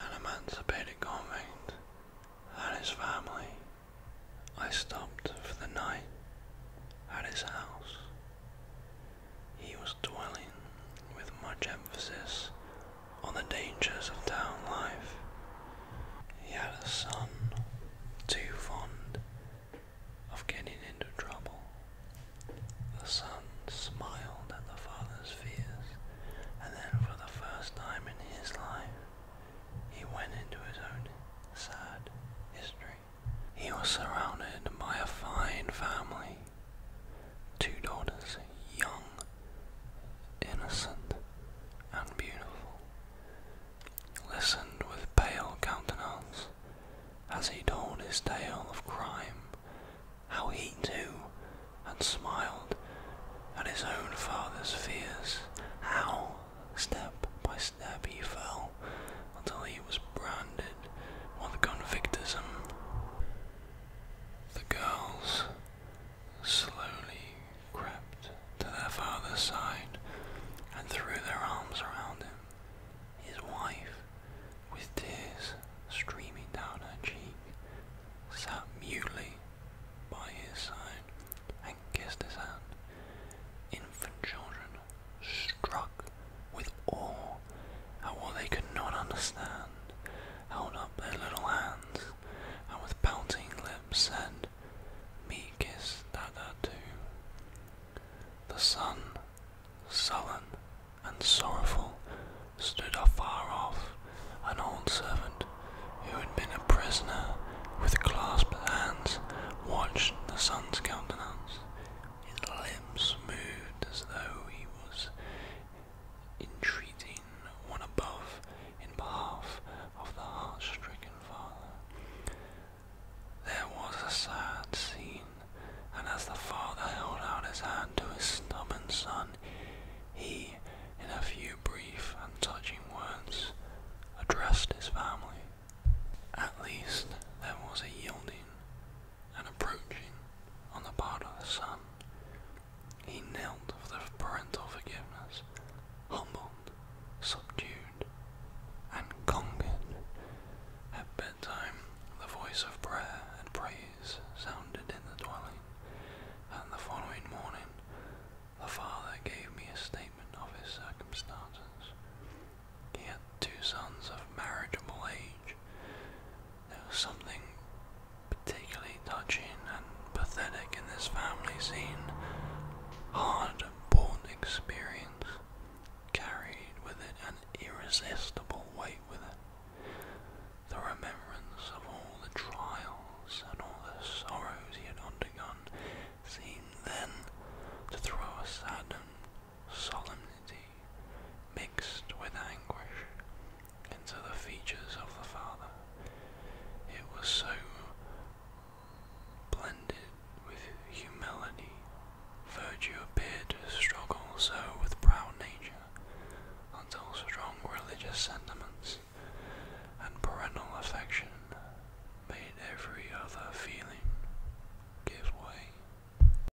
An emancipated convict and his family. I stopped for the night at his house. He was dwelling with much emphasis on the dangers of town life. He had a son too fond of getting into trouble. The son smiled at the father's fears, and then for the first time in his life, he went into his own sad history. He was surrounded by a fine family. Two daughters, young, innocent, and beautiful, listened with pale countenance as he told his tale of crime, how he too had smiled at his own father's fears, how step by step he fell until he was branded with convictism. The girls slowly crept to their father's side and threw their arms around him. His wife, with tears streaming down her cheek, sat mutely by his side and kissed his hand. Infant children, struck with awe at what they could not understand, held up their little hands and with pouting lips said, meek is Dada too. The sun, sullen and sorrowful, stood afar off, an old servant who had been a prisoner with clasped hands watched the sun's countenance. His lips moved as though he was entreating one above in behalf of the heart stricken. There was a sad scene, and as the father held out his hand to his stubborn son, he, in a few brief and touching words, addressed his family. At least there was a yielding and approaching on the part of the son, he knelt for the parental forgiveness, humbled, subdued, and conquered. At bedtime, the voice of prayer and praise sounded in the dwelling, and the following morning, the father gave me a statement of his circumstances. He had two sons of marriageable age. There was something particularly touching and pathetic in this family scene, hard born experience carried with it an irresistible weight with it. The remembrance of all the trials and all the sorrows he had undergone seemed then to throw a sudden solemnity mixed with anguish into the features of the father. It was so blended with humility. Virtue appeared to struggle so with proud nature, until strong religious sentiments and parental affection made every other feeling give way.